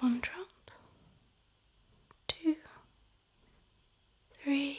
one drop, two, three,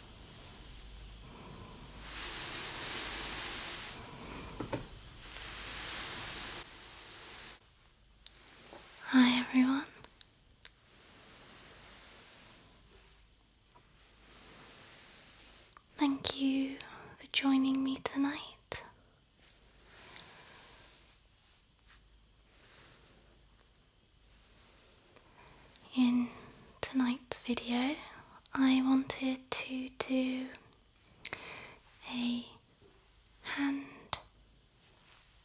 Hi, everyone. Thank you for joining me tonight. In tonight's video, I wanted to do a hand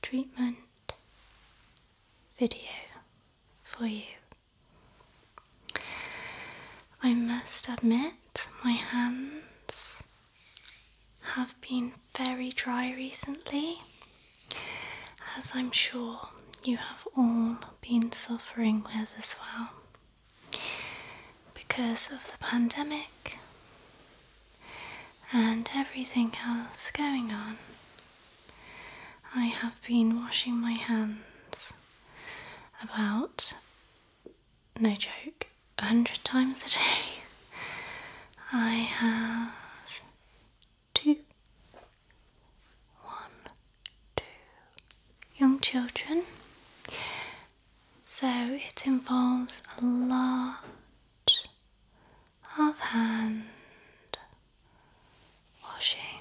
treatment video for you. I must admit, my hands have been very dry recently, as I'm sure you have all been suffering with as well because of the pandemic and everything else going on. I have been washing my hands about, no joke, a hundred times a day. I have two, one, two. Young children. So it involves a lot of hand washing.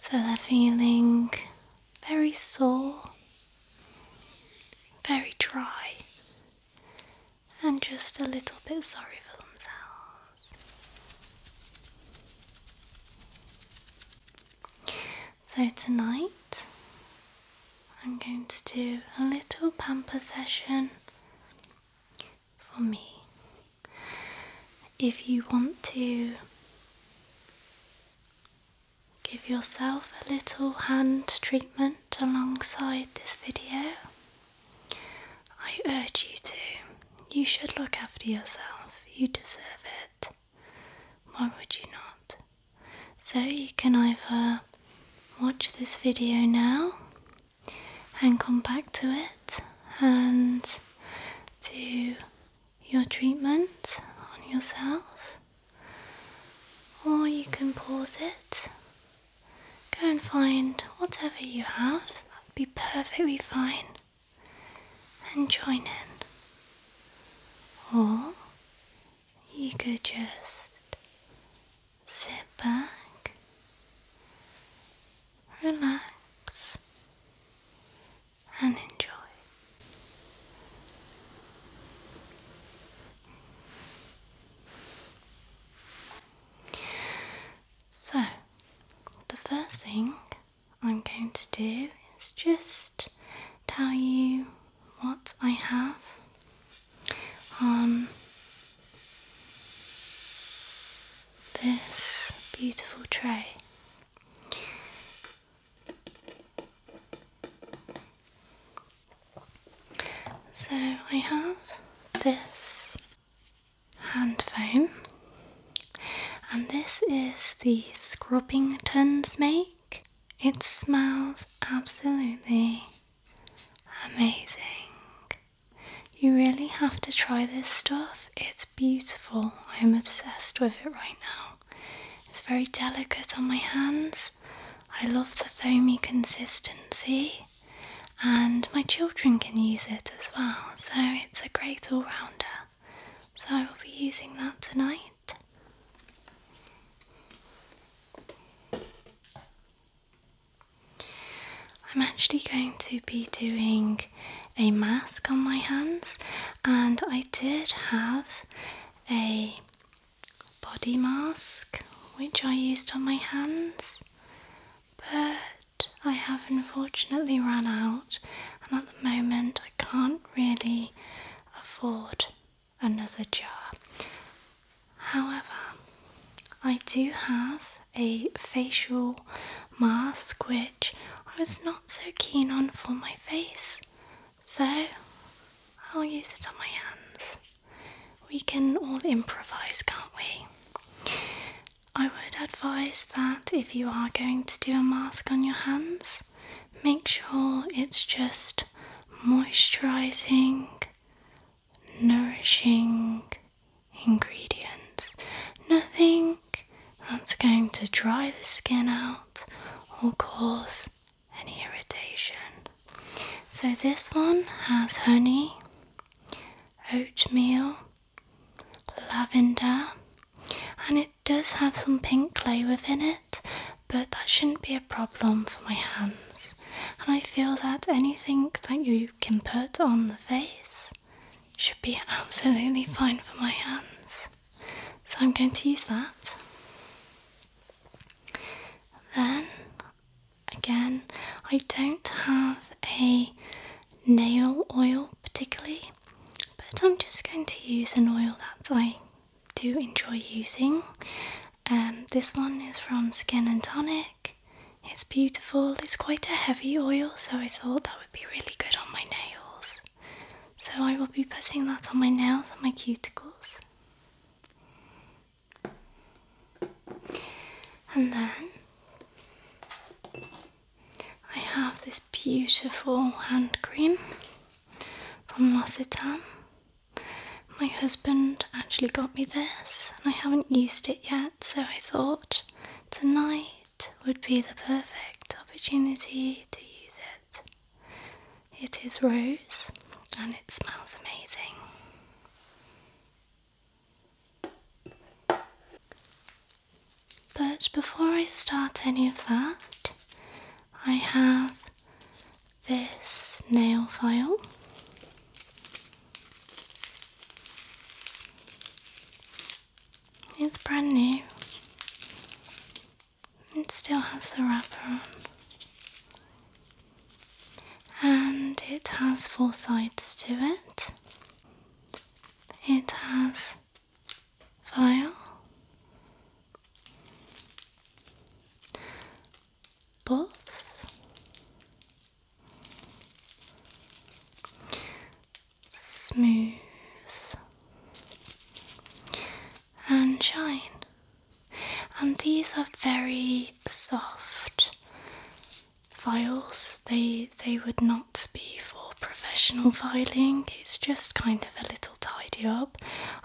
So they feeling very sore, very dry, and just a little bit sorry for themselves. So, tonight I'm going to do a little pamper session for me. If you want to give yourself a little hand treatment alongside this video. I urge you to. You should look after yourself. You deserve it. Why would you not? So you can either watch this video now and come back to it and do your treatment on yourself, or you can pause it, go and find whatever you have, that would be perfectly fine, and join in. Or you could just sit back, relax, and enjoy. So, the first thing I'm going to do is just tell you what I have on this beautiful tray. So I have this hand foam, and this is the Scrubbing Scrubbingtons make. It smells absolutely amazing. You really have to try this stuff, it's beautiful. I'm obsessed with it right now. It's very delicate on my hands. I love the foamy consistency, and my children can use it as well, so it's a great all rounder. So I will be using that tonight. I'm actually going to be doing a mask on my hands, and I did have a body mask which I used on my hands, but I have unfortunately ran out, and at the moment I can't really afford another jar. However, I do have a facial mask which I was not so keen on for my face, so I'll use it on my hands. We can all improvise, can't we? I would advise that if you are going to do a mask on your hands, make sure it's just moisturising, nourishing ingredients. Nothing that's going to dry the skin out or cause any irritation. So this one has honey, oatmeal, lavender, and it does have some pink clay within it, but that shouldn't be a problem for my hands. And I feel that anything that you can put on the face should be absolutely fine for my hands. So I'm going to use that. Then again, I don't have a nail oil particularly, but I'm just going to use an oil that I do enjoy using. Um, this one is from Skin and Tonic. It's beautiful, it's quite a heavy oil, so I thought that would be really good on my nails. So I will be putting that on my nails and my cuticles. And then I have this beautiful hand cream from L'Occitane. My husband actually got me this, and I haven't used it yet, so I thought tonight would be the perfect opportunity to use it. It is rose and it smells amazing. But before I start any of that, I have this nail file. It's brand new. It still has the wrapper on. And it has four sides to it. It has file, both, smooth, and shine. And these are very soft files. They they would not be for professional filing. It's just kind of a little tidy up.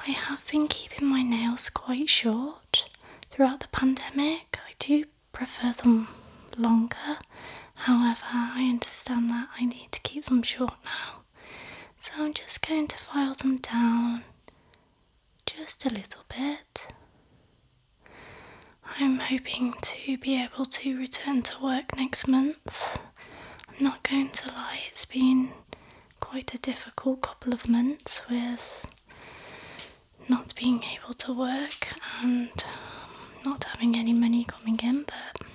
I have been keeping my nails quite short throughout the pandemic. I do prefer them longer. However, I understand that I need to keep them short now so I'm just going to file them down just a little bit. I'm hoping to be able to return to work next month. I'm not going to lie, it's been quite a difficult couple of months with not being able to work and not having any money coming in, but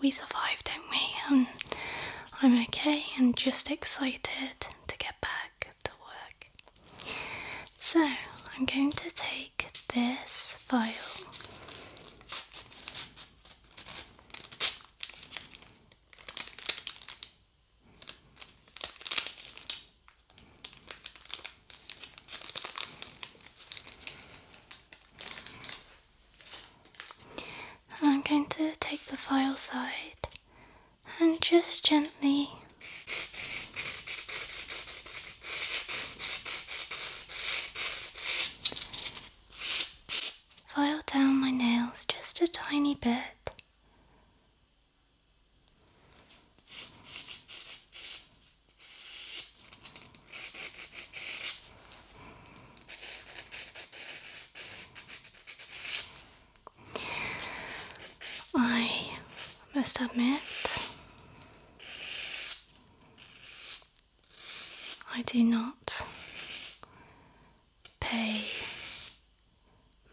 we survived, do not we? Um, I'm okay and just excited to get back to work. So, I'm going to take this file. I'm going to take the file side and just gently file down my nails just a tiny bit. I must admit, I do not pay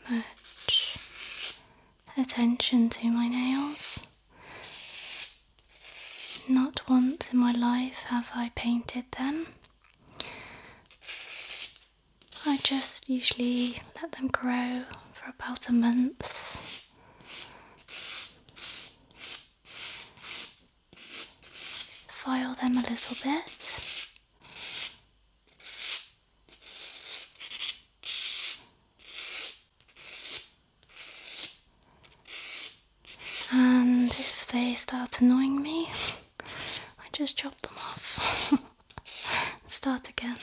much attention to my nails. Not once in my life have I painted them. I just usually let them grow for about a month. File them a little bit and if they start annoying me, I just chop them off start again.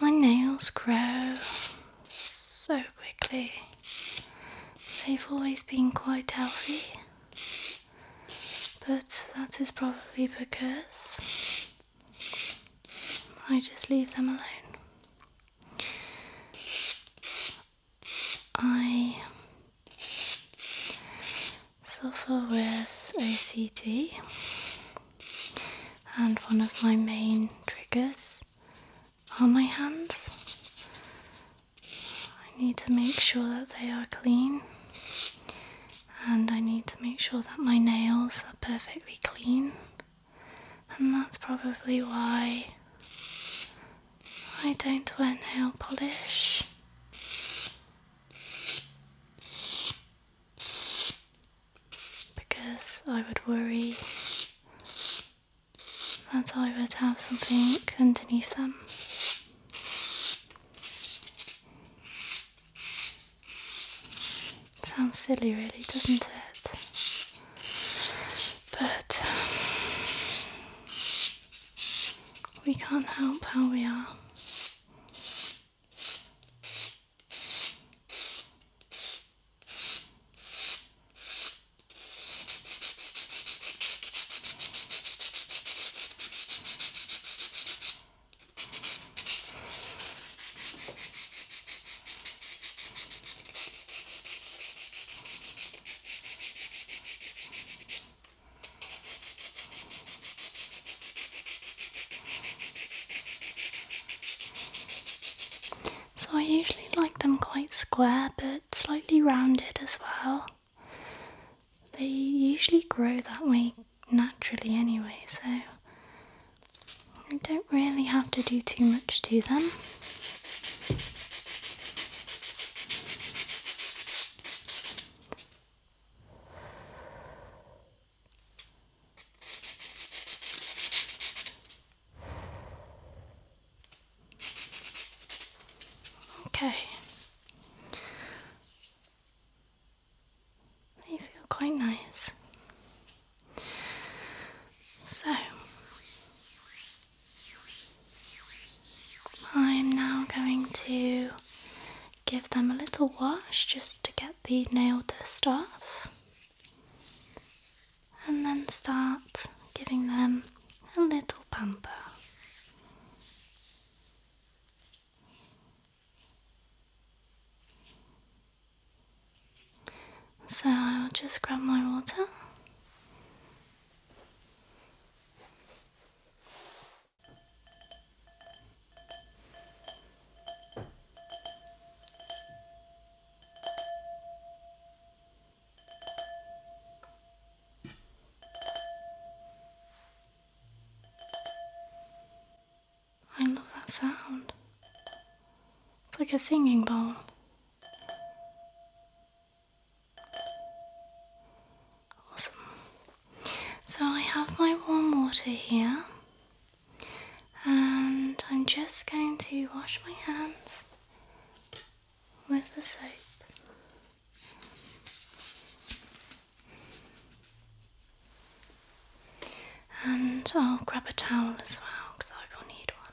My nails grow so quickly, they've always been quite healthy, but that is probably because I just leave them alone. I suffer with OCD, and one of my main triggers are my hands. I need to make sure that they are clean, and I need to make sure that my nails are perfectly clean, and that's probably why I don't wear nail polish. Because I would worry that I would have something underneath them. sounds silly, really, doesn't it? But we can't help how we are. So I usually like them quite square but slightly rounded as well. They usually grow that way naturally anyway, so I don't really have to do too much to them. Okay. They feel quite nice. So I'm now going to give them a little wash just to get the nail dust off and then start giving them a little pamper. So I'll just grab my water I love that sound. It's like a singing bowl. Awesome. So I have my warm water here, and I'm just going to wash my hands with the soap. And I'll grab a towel as well because I will need one.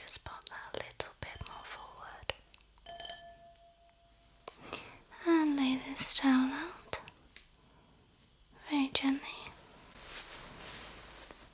Just pop a little bit more forward. And lay this towel out very gently.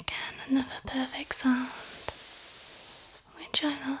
Again, another perfect sound, which I love.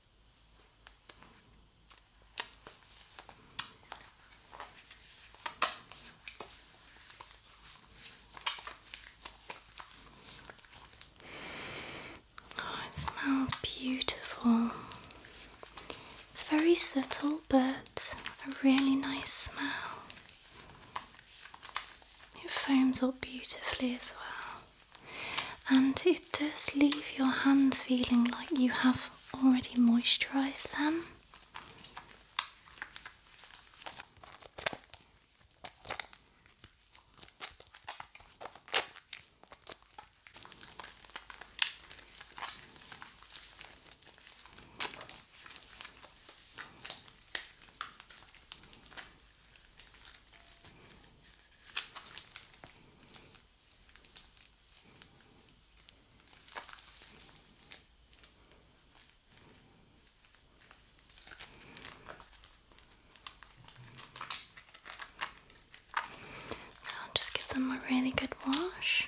Oh, it smells beautiful. It's very subtle but a really nice smell. It foams up beautifully as well and it does leave your hands feeling like you have already moisturised them. So just give them a really good wash.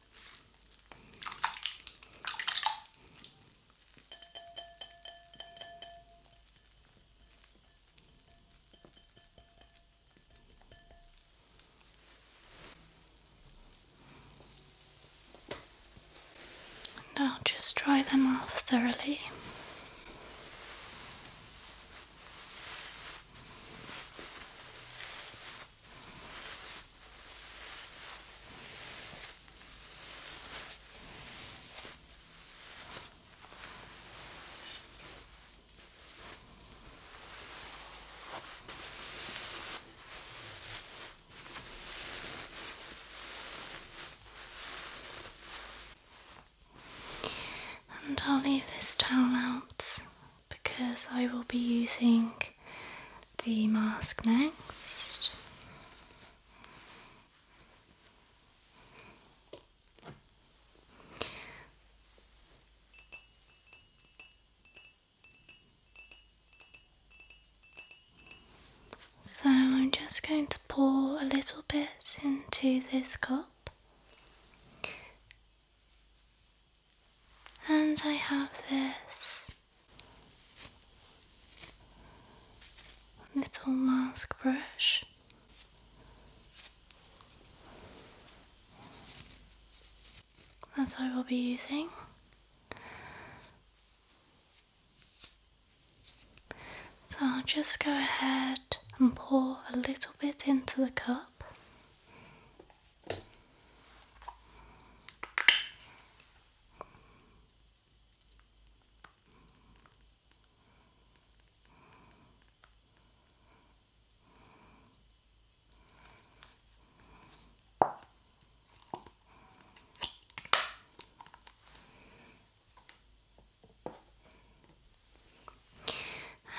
Now just dry them off thoroughly. And I'll leave this towel out because I will be using the mask next. So I'm just going to pour a little bit into this cup, and I have this little mask brush. That's what I will be using. So I'll just go ahead and pour a little bit into the cup.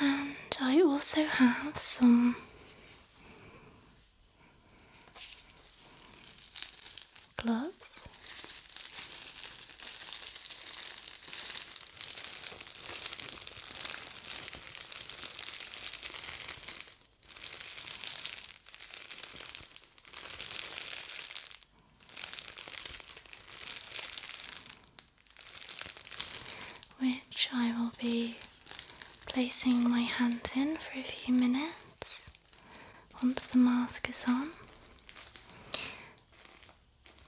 And I also have some gloves. Which I will be placing my hands in for a few minutes once the mask is on.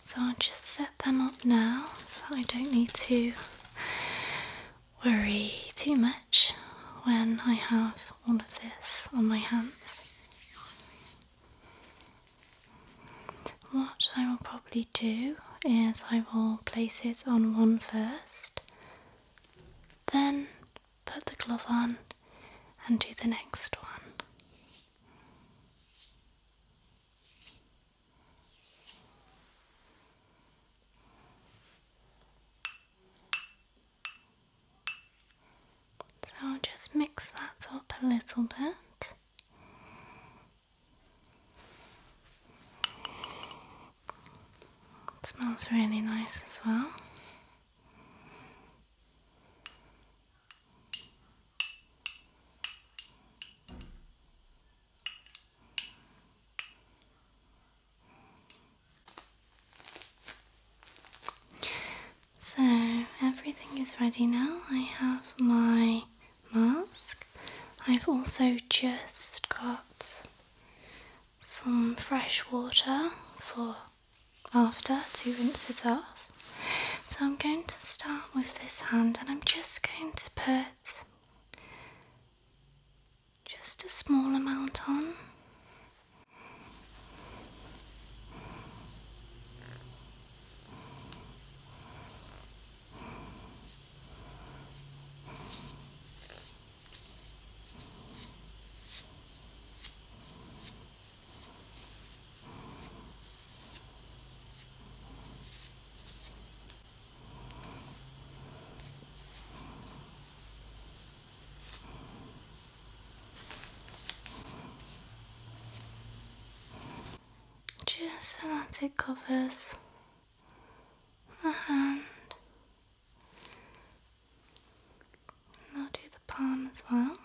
So I'll just set them up now so that I don't need to worry too much when I have all of this on my hands. What I will probably do is I will place it on one first then put the glove on and do the next one. So I'll just mix that up a little bit smells really nice as well. So everything is ready now. I have my mask. I've also just got some fresh water for after to rinse it off. So I'm going to start with this hand and I'm just going to put just a small amount on. Just so that it covers the hand I'll do the palm as well.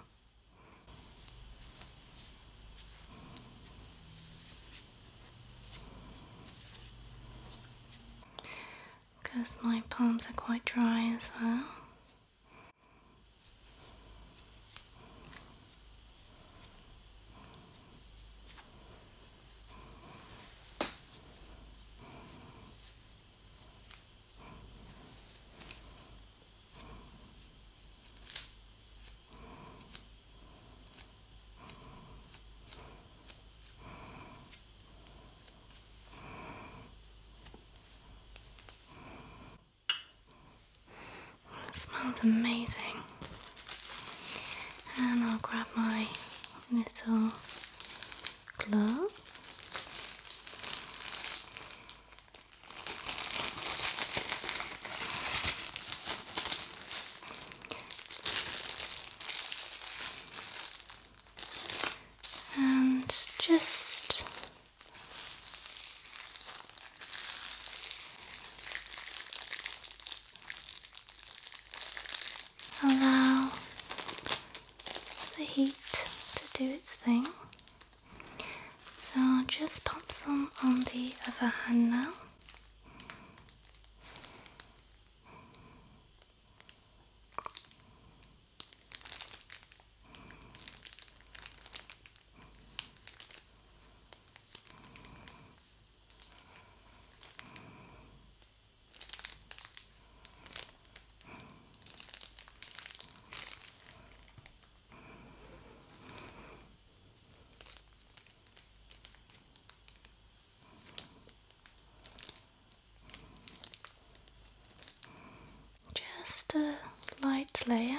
Because my palms are quite dry as well. It smells amazing. And I'll grab my little glove. And just Allow the heat to do its thing. So I'll just pop some on the other hand now. Just a light layer.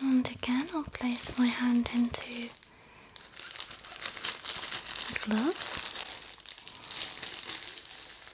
And again, I'll place my hand into the glove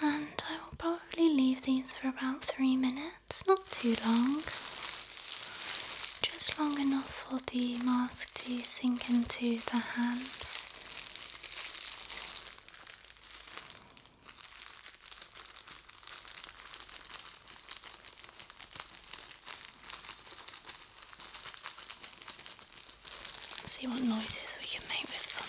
And I will probably leave these for about three minutes it's not too long, just long enough for the mask to sink into the hands. See what noises we can make with them.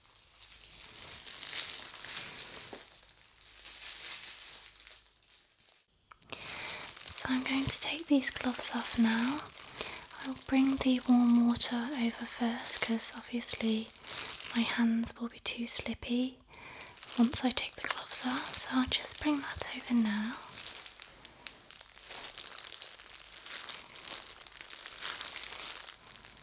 So I'm going to take these gloves off now. I will bring the warm water over first because obviously my hands will be too slippy once I take the gloves off. So I'll just bring that over now.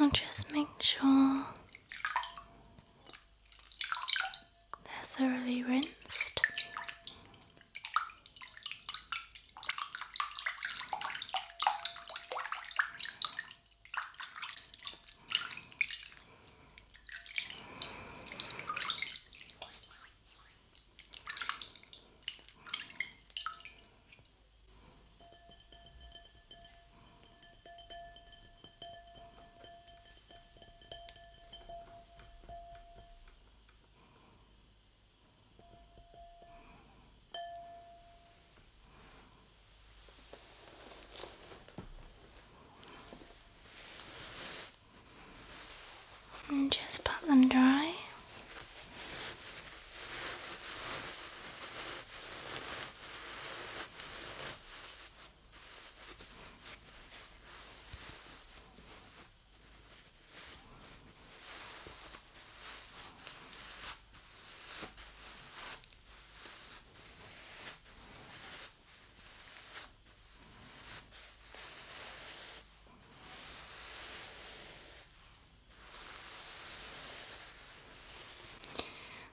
I'll just make sure they're thoroughly rinsed. And just pat them dry.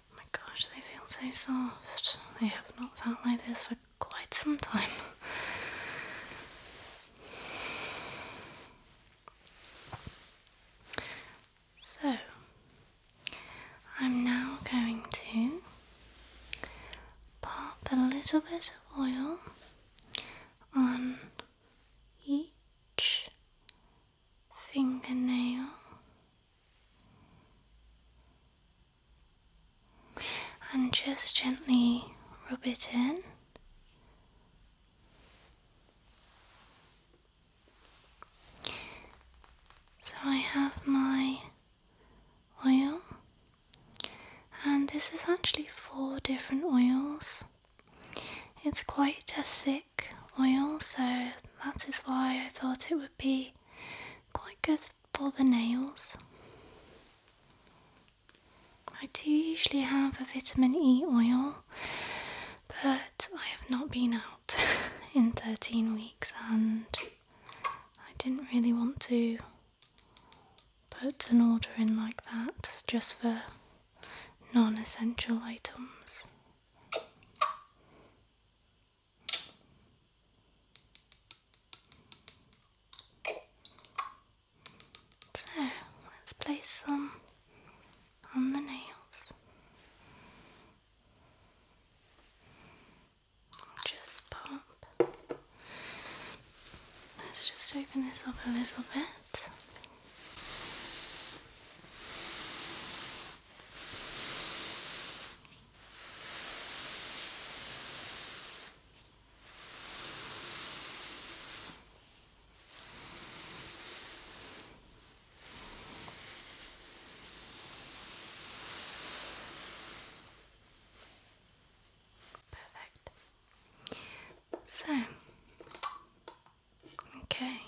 Oh my gosh, they feel so soft. I have not felt like this for quite some time. So, I'm now going to pop a little bit of oil on each fingernail and just gently rub it in. So I have my oil, and this is actually four different oils. It's quite a thick oil, so that is why I thought it would be quite good for the nails, I do usually have a vitamin E oil, but I have not been out in 13 weeks and I didn't really want to put an order in like that just for non essential items. So let's place some on the nails. Just pop. Let's just open this up a little bit. Perfect. So, okay.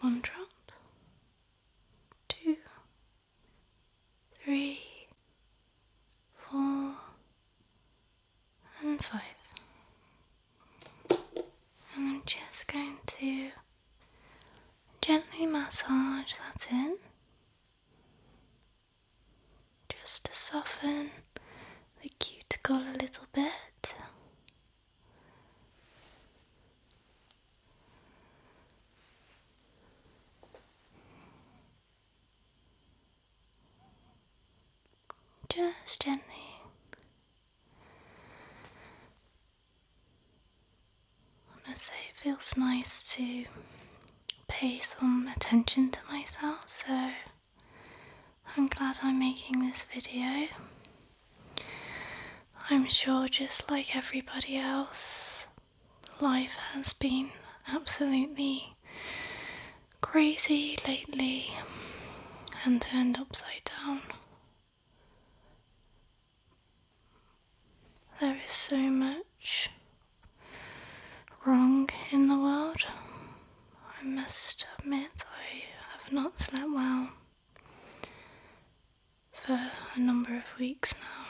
One two, three, four, and five. And I'm just going to gently massage that in just to soften the cuticle a little bit. Just gently. I must say, it feels nice to pay some attention to myself, so I'm glad I'm making this video. I'm sure, just like everybody else, life has been absolutely crazy lately and turned upside down. There is so much wrong in the world. I must admit, I have not slept well for a number of weeks now.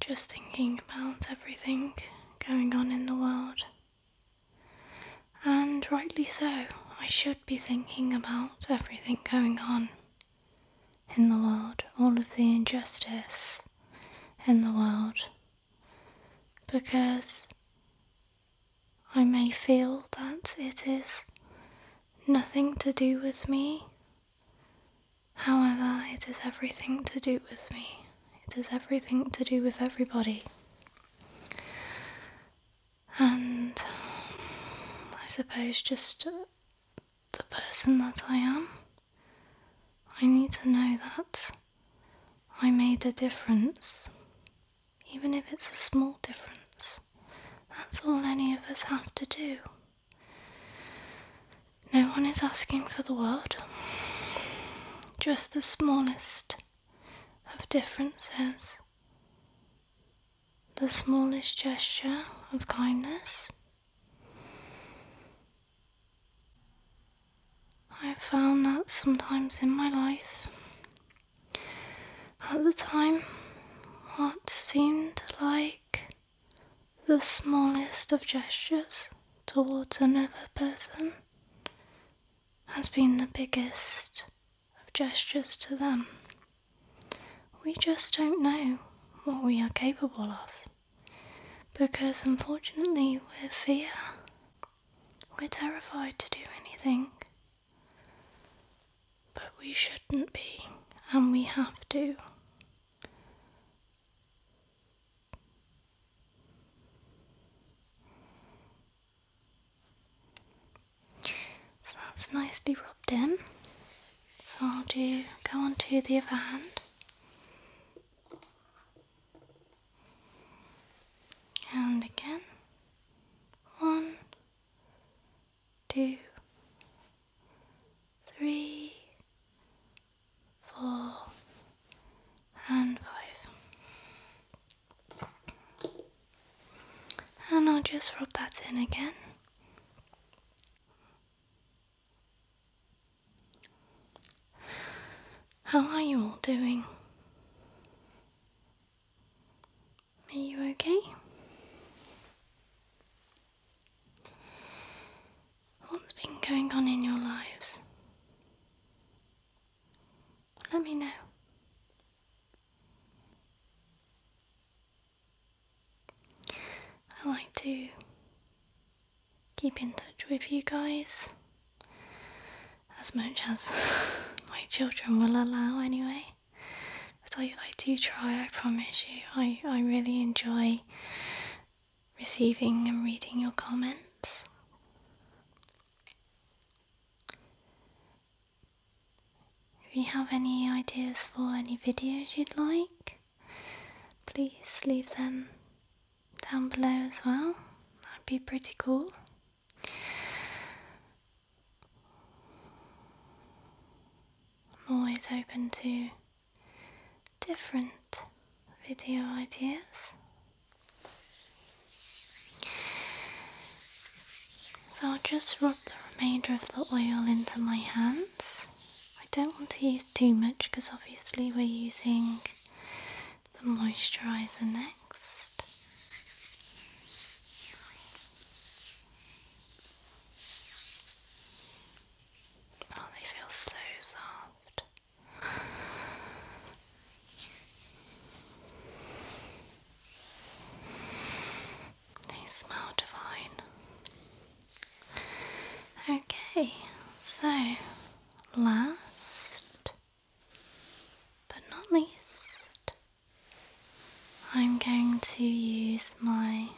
Just thinking about everything going on in the world. And rightly so, I should be thinking about everything going on in the world, all of the injustice in the world, because I may feel that it is nothing to do with me. However, it is everything to do with me. It is everything to do with everybody. And I suppose just the person that I am. I need to know that I made a difference, even if it's a small difference. That's all any of us have to do. No one is asking for the world, just the smallest of differences, the smallest gesture of kindness I've found that sometimes in my life, at the time, what seemed like the smallest of gestures towards another person has been the biggest of gestures to them. We just don't know what we are capable of because unfortunately we're fear. We're terrified to do anything. But we shouldn't be, and we have to. So that's nicely rubbed in. So I'll do go on to the other hand and again one, two, three, four, and five. And I'll just rub that in again. How are you all doing? Are you okay? What's been going on in your lives? Let me know. I like to keep in touch with you guys as much as my children will allow, anyway. But I, I do try, I promise you. I, I really enjoy receiving and reading your comments. If you have any ideas for any videos you'd like, please leave them down below as well. That'd be pretty cool. I'm always open to different video ideas. So I'll just rub the remainder of the oil into my hands. I don't want to use too much because obviously we're using the moisturiser next. Oh, they feel so soft. They smell divine. Okay, so last but not least, I'm going to use my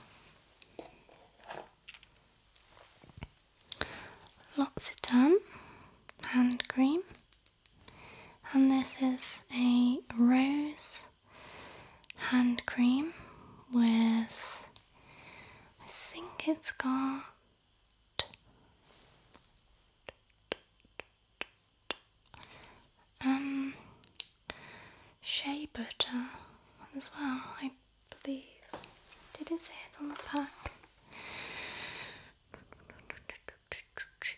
L'Occitane hand cream, and this is a rose hand cream with, I think it's got um shea butter as well, I believe. Did not say it on the pack?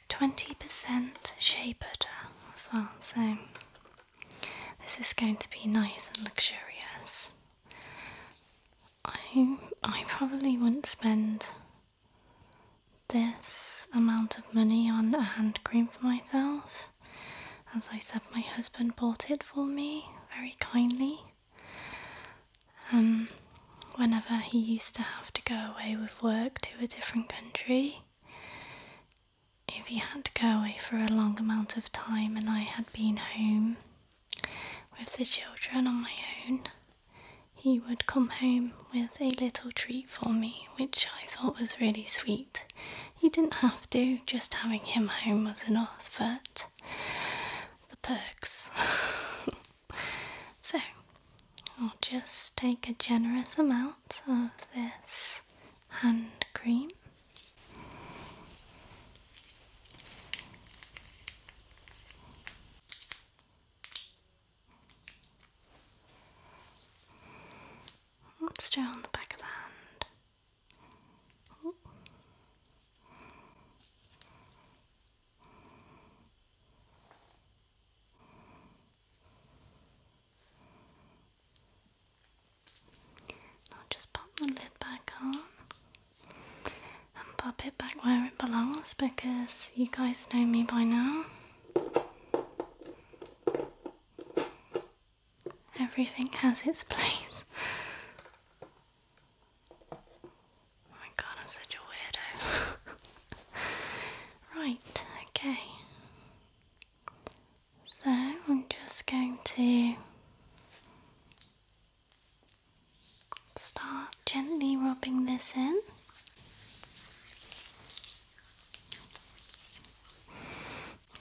20% shea butter as well, so this is going to be nice and luxurious. I I probably wouldn't spend this amount of money on a hand cream for myself. As I said, my husband bought it for me very kindly. Um, whenever he used to have to go away with work to a different country, if he had to go away for a long amount of time and I had been home with the children on my own, he would come home with a little treat for me, which I thought was really sweet. He didn't have to, just having him home was enough, but the perks. so, I'll just take a generous amount of this hand cream. Let's do on the back of the hand. Now just pop the lid back on and pop it back where it belongs because you guys know me by now. Everything has its place. Oh my god, I'm such a weirdo. right, okay. So I'm just going to start gently rubbing this in.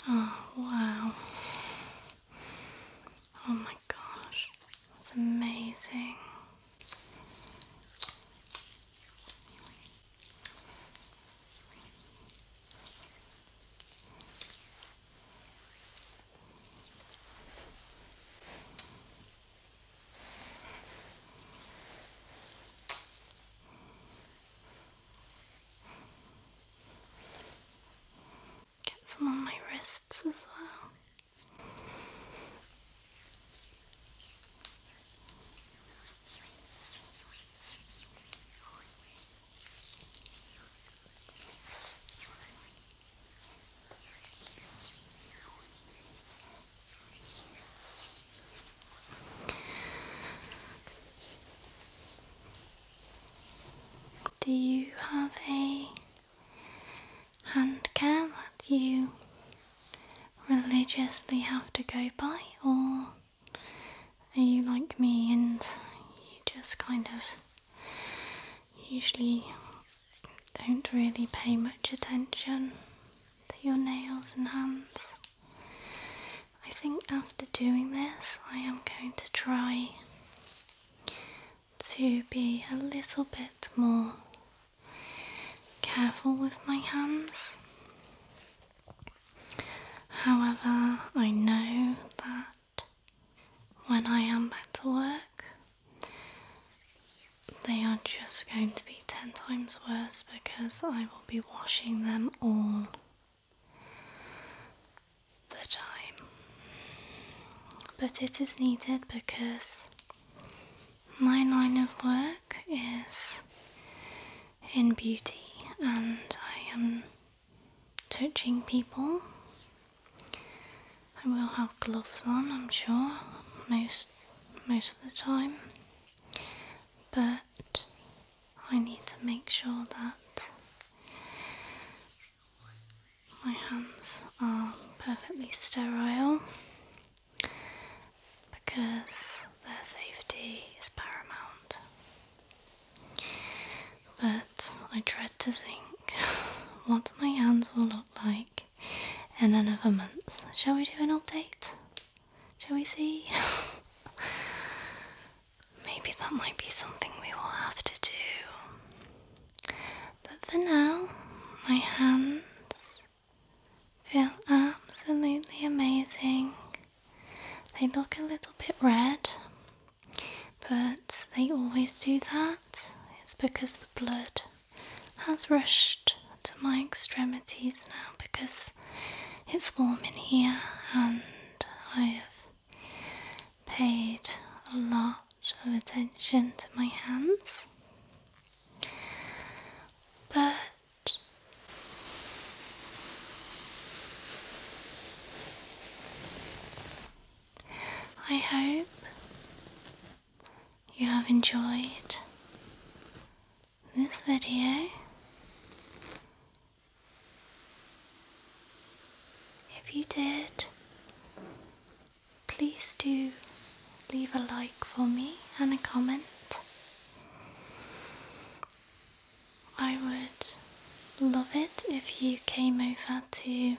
Oh wow. Oh my gosh, that's amazing. Get some on my wrists as well. Do you have a hand care that you religiously have to go by, or are you like me and you just kind of usually don't really pay much attention to your nails and hands? I think after doing this, I am going to try to be a little bit more careful with my hands. However, I know that when I am back to work, they are just going to be 10 times worse because I will be washing them all the time. But it is needed because my line of work is in beauty and I am touching people. I will have gloves on, I'm sure, most most of the time. But I need to make sure that my hands are perfectly sterile because their safety is paramount. But I dread to think what my hands will look like in another month. Shall we do an update? Shall we see? Maybe that might be something we will have to do. But for now, my hands feel absolutely amazing. They look a little bit red, but they always do that. It's because the blood has rushed to my extremities now because it's warm in here and I have paid a lot of attention to my hands. But I hope you have enjoyed this video. If you did, please do leave a like for me and a comment. I would love it if you came over to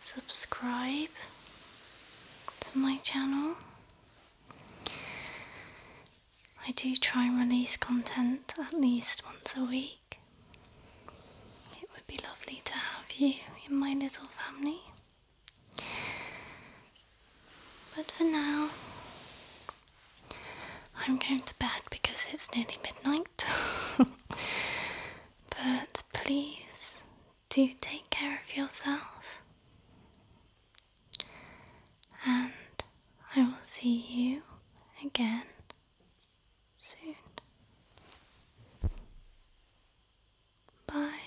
subscribe to my channel. I do try and release content at least once a week. It would be lovely to have you in my little family. But for now, I'm going to bed because it's nearly midnight. but please do take care of yourself. And I will see you again soon. Bye.